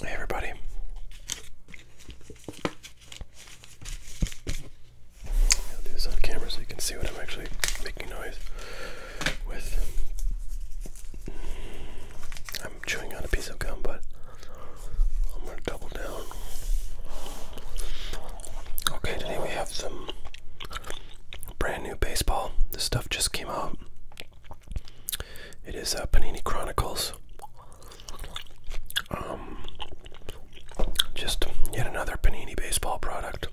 Hey everybody. I'll do this on so you can see what I'm actually making noise with. I'm chewing on a piece of gum, but I'm gonna double down. Okay, today we have some brand new baseball. This stuff just came out. It is uh, Panini Chronicles. Um, just yet another Panini baseball product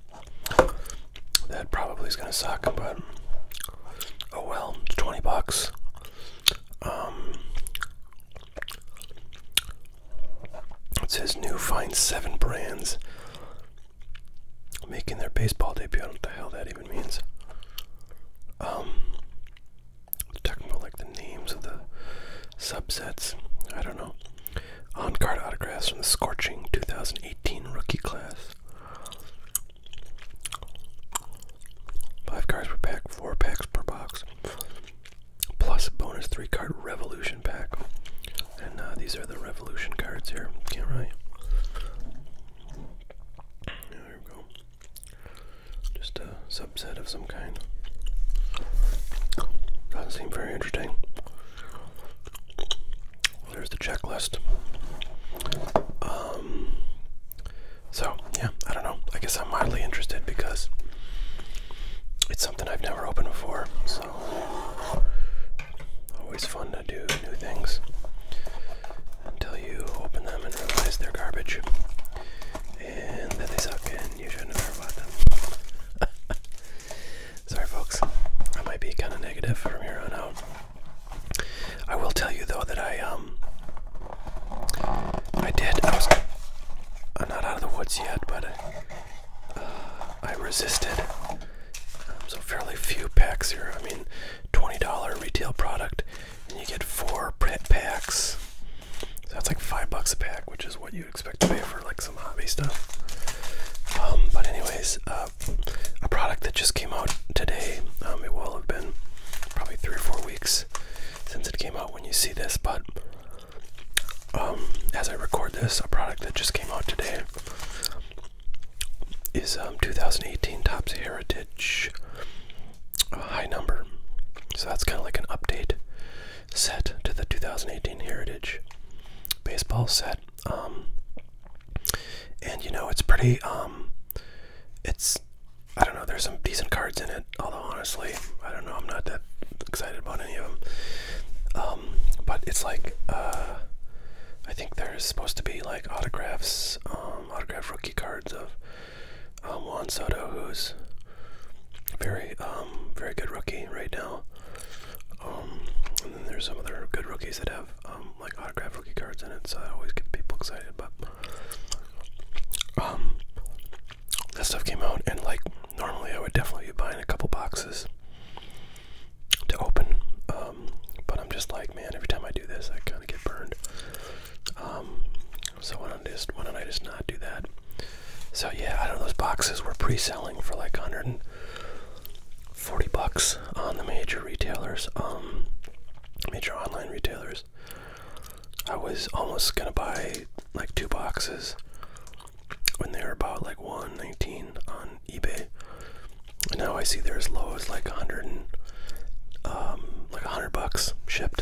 that probably is gonna suck, but oh well. It's Twenty bucks. Um, it says new fine seven brands making their baseball debut. I don't know what that even means. Um, like the names of the subsets. I don't know. On card autographs from the scorching 2018 rookie class. Five cards per pack, four packs per box, plus a bonus three card revolution pack. And uh, these are the revolution cards here. can There we go. Just a subset of some kind. Doesn't seem very interesting. There's the checklist. Um, so, yeah, I don't know. I guess I'm mildly interested because it's something I've never opened before, so always fun to do new things until you open them and realize they're garbage and that they suck and you shouldn't have ever bought them. Sorry, folks. I might be kind of negative from here on out. I will tell you though that I um I did I was I'm not out of the woods yet, but uh, I resisted. Um, so fairly few packs here. I mean, twenty dollar retail product and you get four print packs. So that's like five bucks a pack, which is what you'd expect to pay for like some hobby stuff. Um, but anyways, uh, a product that just came out today. Um, it will have been probably three or four weeks since it came out when you see this, but um, as I record this, a product that just came out today is um, 2018 Topps Heritage a high number. So that's kind of like an update set to the 2018 Heritage baseball set. Um, and you know, it's pretty, um, it's, I don't know, there's some decent cards in it, although honestly, I don't know, I'm not that excited about any of them. Um, but it's like, uh, I think there's supposed to be like autographs, autograph rookie cards of um, Juan Soto, who's very, um, very good rookie right now. Um, and then there's some other good rookies that have um, like autograph rookie cards in it, so that always get people excited. But that stuff came out, and like normally I would definitely be buying a couple boxes to open. but I'm just like, man, every time I do this, I kind of get burned. Um, so why don't I just why don't I just not do that? So yeah, I don't know. Those boxes were pre-selling for like 140 bucks on the major retailers, um, major online retailers. I was almost gonna buy like two boxes when they were about like 119 on eBay. And now I see they're as low as like 100 and, um, like a hundred bucks shipped.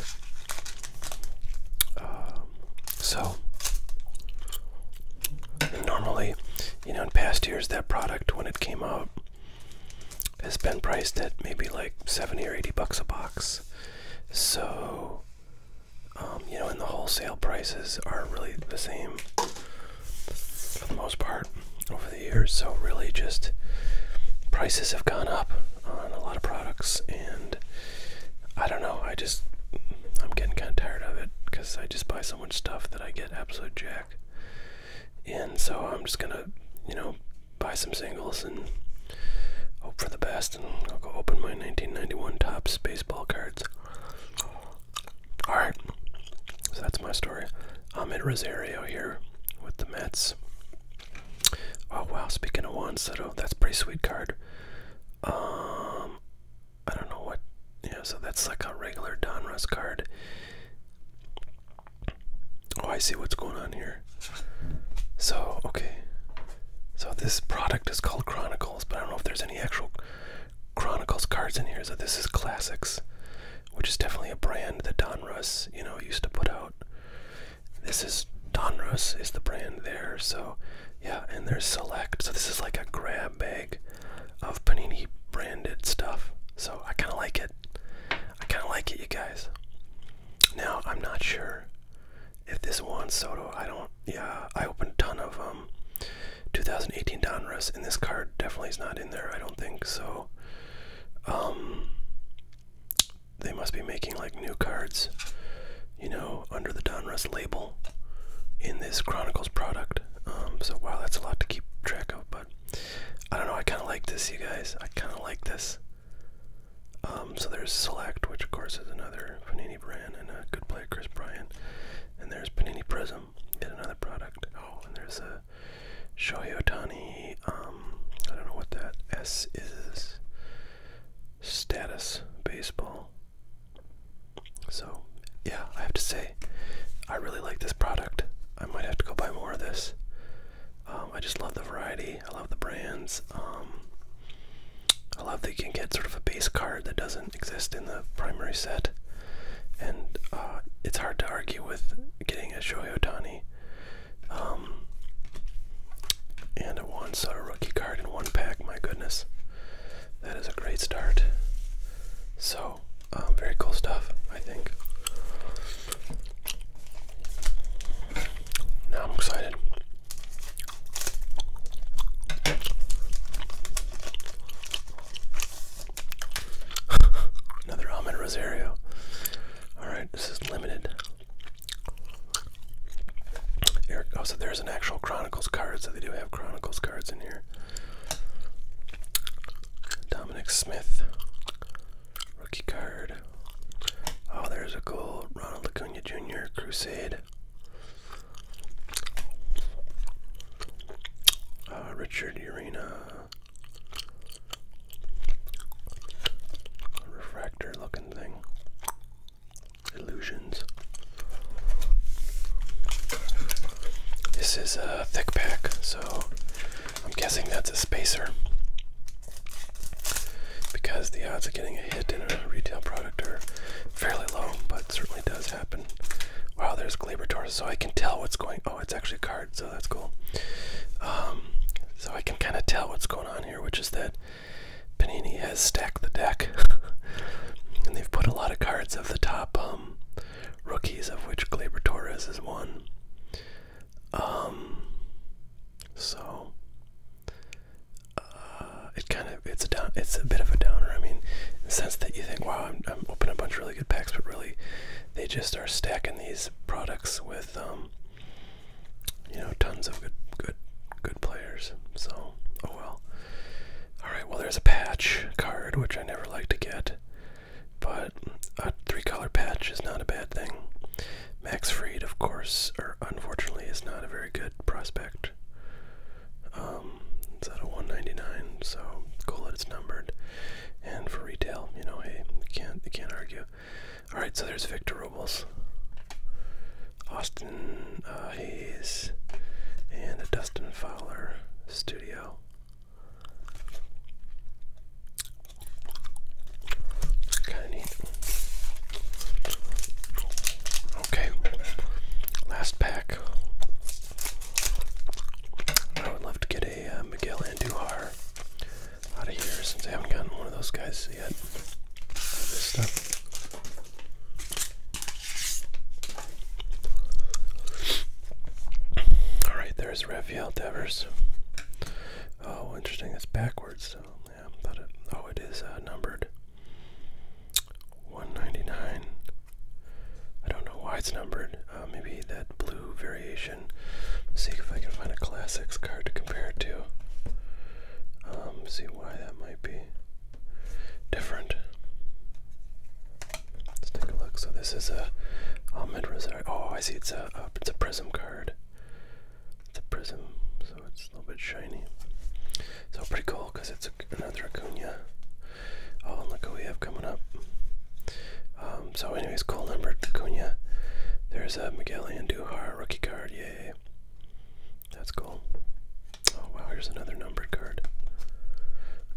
Um, so normally, you know, in past years, that product when it came out has been priced at maybe like seventy or eighty bucks a box. So um, you know, and the wholesale prices are really the same for the most part over the years. So really, just prices have gone up on a lot of products, and I don't know. I just I'm getting kind of tired of it because I just buy so much stuff that I get absolute jack. And so I'm just gonna, you know, buy some singles and hope for the best. And I'll go open my 1991 Topps baseball cards. All right, so that's my story. Ahmed Rosario here with the Mets. Oh wow, speaking of Juan Soto, that's pretty sweet card. Um I don't know what yeah, so that's like a regular Donruss card. Oh I see what's going on here. So okay. So this product is called Chronicles, but I don't know if there's any actual Chronicles cards in here. So this is Classics, which is definitely a brand that Don Russ, you know, used to put out. This is Donruss is the brand there, so yeah, and there's Select. So this is like a grab bag of Panini branded stuff. So I kind of like it. I kind of like it, you guys. Now I'm not sure if this Juan Soto. I don't. Yeah, I opened a ton of um 2018 Donruss, and this card definitely is not in there. I don't think so. Um, they must be making like new cards, you know, under the Donruss label in this Chronicles product. Um, so wow, that's a lot to keep track of, but I don't know, I kind of like this, you guys. I kind of like this. Um, so there's Select, which of course is another Panini brand and a good player, Chris Bryant. And there's Panini Prism, yet another product. Oh, and there's a uh, Shohei um, I don't know what that S is. Status baseball. So, yeah, I have to say, I really like this product. I might have to go buy more of this. Um, I just love the variety. I love the brands. Um, I love that you can get sort of a base card that doesn't exist in the primary set. And uh, it's hard to argue with getting a Shohei Otani um, and it wants a rookie card in one pack. My goodness, that is a great start. So, um, very cool stuff, I think. Now I'm excited. Another Ahmed Rosario. Alright, this is limited. Eric, oh, there's an actual Chronicles card, so they do have Chronicles cards in here. Dominic Smith, rookie card. Oh, there's a goal. Ronald Acuna Jr., Crusade. Uh, Richard Urena, refractor looking thing. Illusions. This is a thick pack, so I'm guessing that's a spacer. Because the odds of getting a hit in a retail product are fairly low, but certainly does happen. Wow, there's Glaber Torres, so I can tell what's going. Oh, it's actually a card so that's cool. Um, so I can kind of tell what's going on here, which is that Panini has stacked the deck, and they've put a lot of cards of the top um, rookies, of which Glaber Torres is one. Um, so uh, it kind of it's a it's a bit of a downer. I mean, the sense that you think, wow, I'm, opening a bunch of really good packs, but really, they just are stacking these products with you know, tons of good, good, good players. So, oh well. All right. Well, there's a patch card which I never like to get, but a three-color patch is not a bad thing. Max Freed, of course, or unfortunately, is not a very good prospect. Um, it's at a 199, so cool that it's numbered. And for retail, you know, hey, can't can't argue. All right, so there's Victor Robles, Austin uh, Hayes, and a Dustin Fowler studio. Kind of neat. Okay, last pack. I would love to get a uh, Miguel Andujar out of here since I haven't gotten one of those guys yet. All right, there's Raphael Devers. Oh, interesting. It's backwards. So oh, yeah, but it, oh, it is uh, numbered. 199. I don't know why it's numbered. Uh, maybe that blue variation See if I can find a classics card to compare it to. Um, see why that might be different. Let's take a look. So this is a Ahmed Rosario. Oh, I see. It's a, it's a prism card. It's a prism, so it's a little bit shiny. So pretty cool because it's another Acuna. Oh, and look who we have coming up. Um, so anyways, cool number Acuna. There's a uh, Miguel Andujar rookie card, yay. That's cool. Oh wow, here's another numbered card.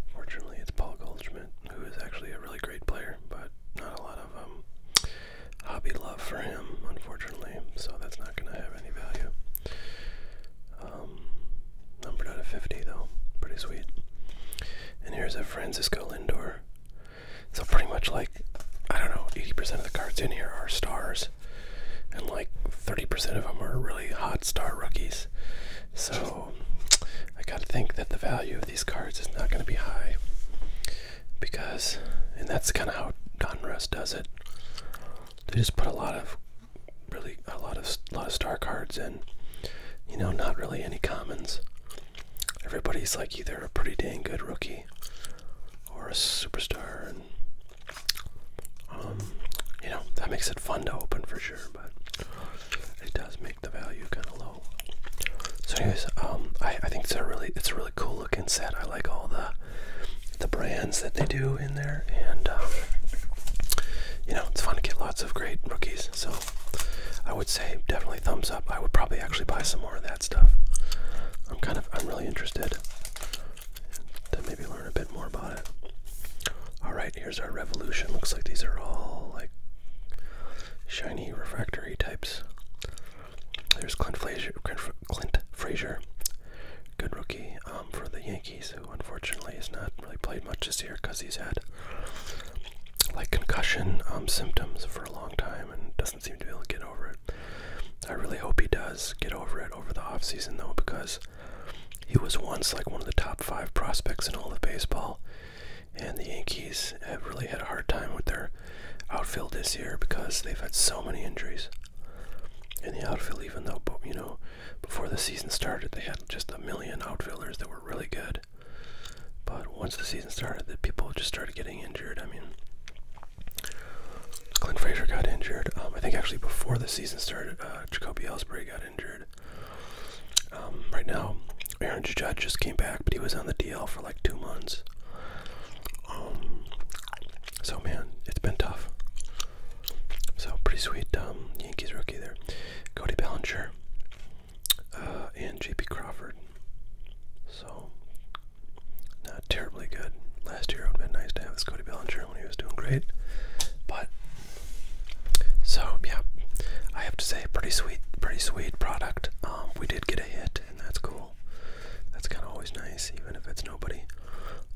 Unfortunately, it's Paul Goldschmidt, who is actually a really great player, but not a lot of um, hobby love for him, unfortunately, so that's not going to have any value. Um, numbered out of 50, though. Pretty sweet. And here's a Francisco Lindor so pretty much like I don't know, 80% of the cards in here are stars, and like 30% of them are really hot star rookies. So I gotta think that the value of these cards is not gonna be high because, and that's kind of how Donruss does it. They just put a lot of really a lot of a lot of star cards in, you know, not really any commons everybody's like either a pretty dang good rookie or a superstar, and um, you know that makes it fun to open for sure, but it does make the value kind of low. So, anyways, um, I, think it's a really it's a really cool looking set. I like all the the brands that they do in there, and um, you know it's fun to get lots of great rookies. So, I would say definitely thumbs up. I would probably actually buy some more of that stuff. I'm kind of I'm really interested to maybe learn a bit more about it. All right, here's our revolution. Looks like these are all like shiny refractory types. There's Clint Frazier, Clint Frazier, good rookie um, for the Yankees, who unfortunately has not really played much this year because he's had like concussion um, symptoms for a long time and doesn't seem to be able to get over it. I really hope he does get over it over the offseason, though, because he was once like one of the top five prospects in all of baseball. And the Yankees have really had a hard time with their outfield this year because they've had so many injuries in the outfield, even though, you know, before the season started, they had just a million outfielders that were really good. But once the season started, the people just started getting injured. I mean, Clint Fraser got injured. Um, I think actually before the season started, uh, Jacoby Ellsbury got injured. Um, right now, Aaron Judge just came back, but he was on the DL for like two months. Um, so man, it's been tough. So pretty sweet. Yankees rookie there, Cody Bellinger, uh, and J.P. Crawford. So, not terribly good. Last year it would have been nice to have Cody Bellinger when he was doing great. But, so yeah, I have to say, pretty sweet, pretty sweet product. Um, we did get a hit, and that's cool. That's kind of always nice, even if it's nobody.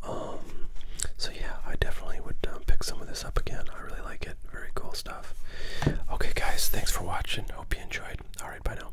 Um, so yeah, I definitely would um, pick some of this up again. I really like it. Very cool stuff. Okay, guys, thanks for watching. Hope you enjoyed. All right, bye now.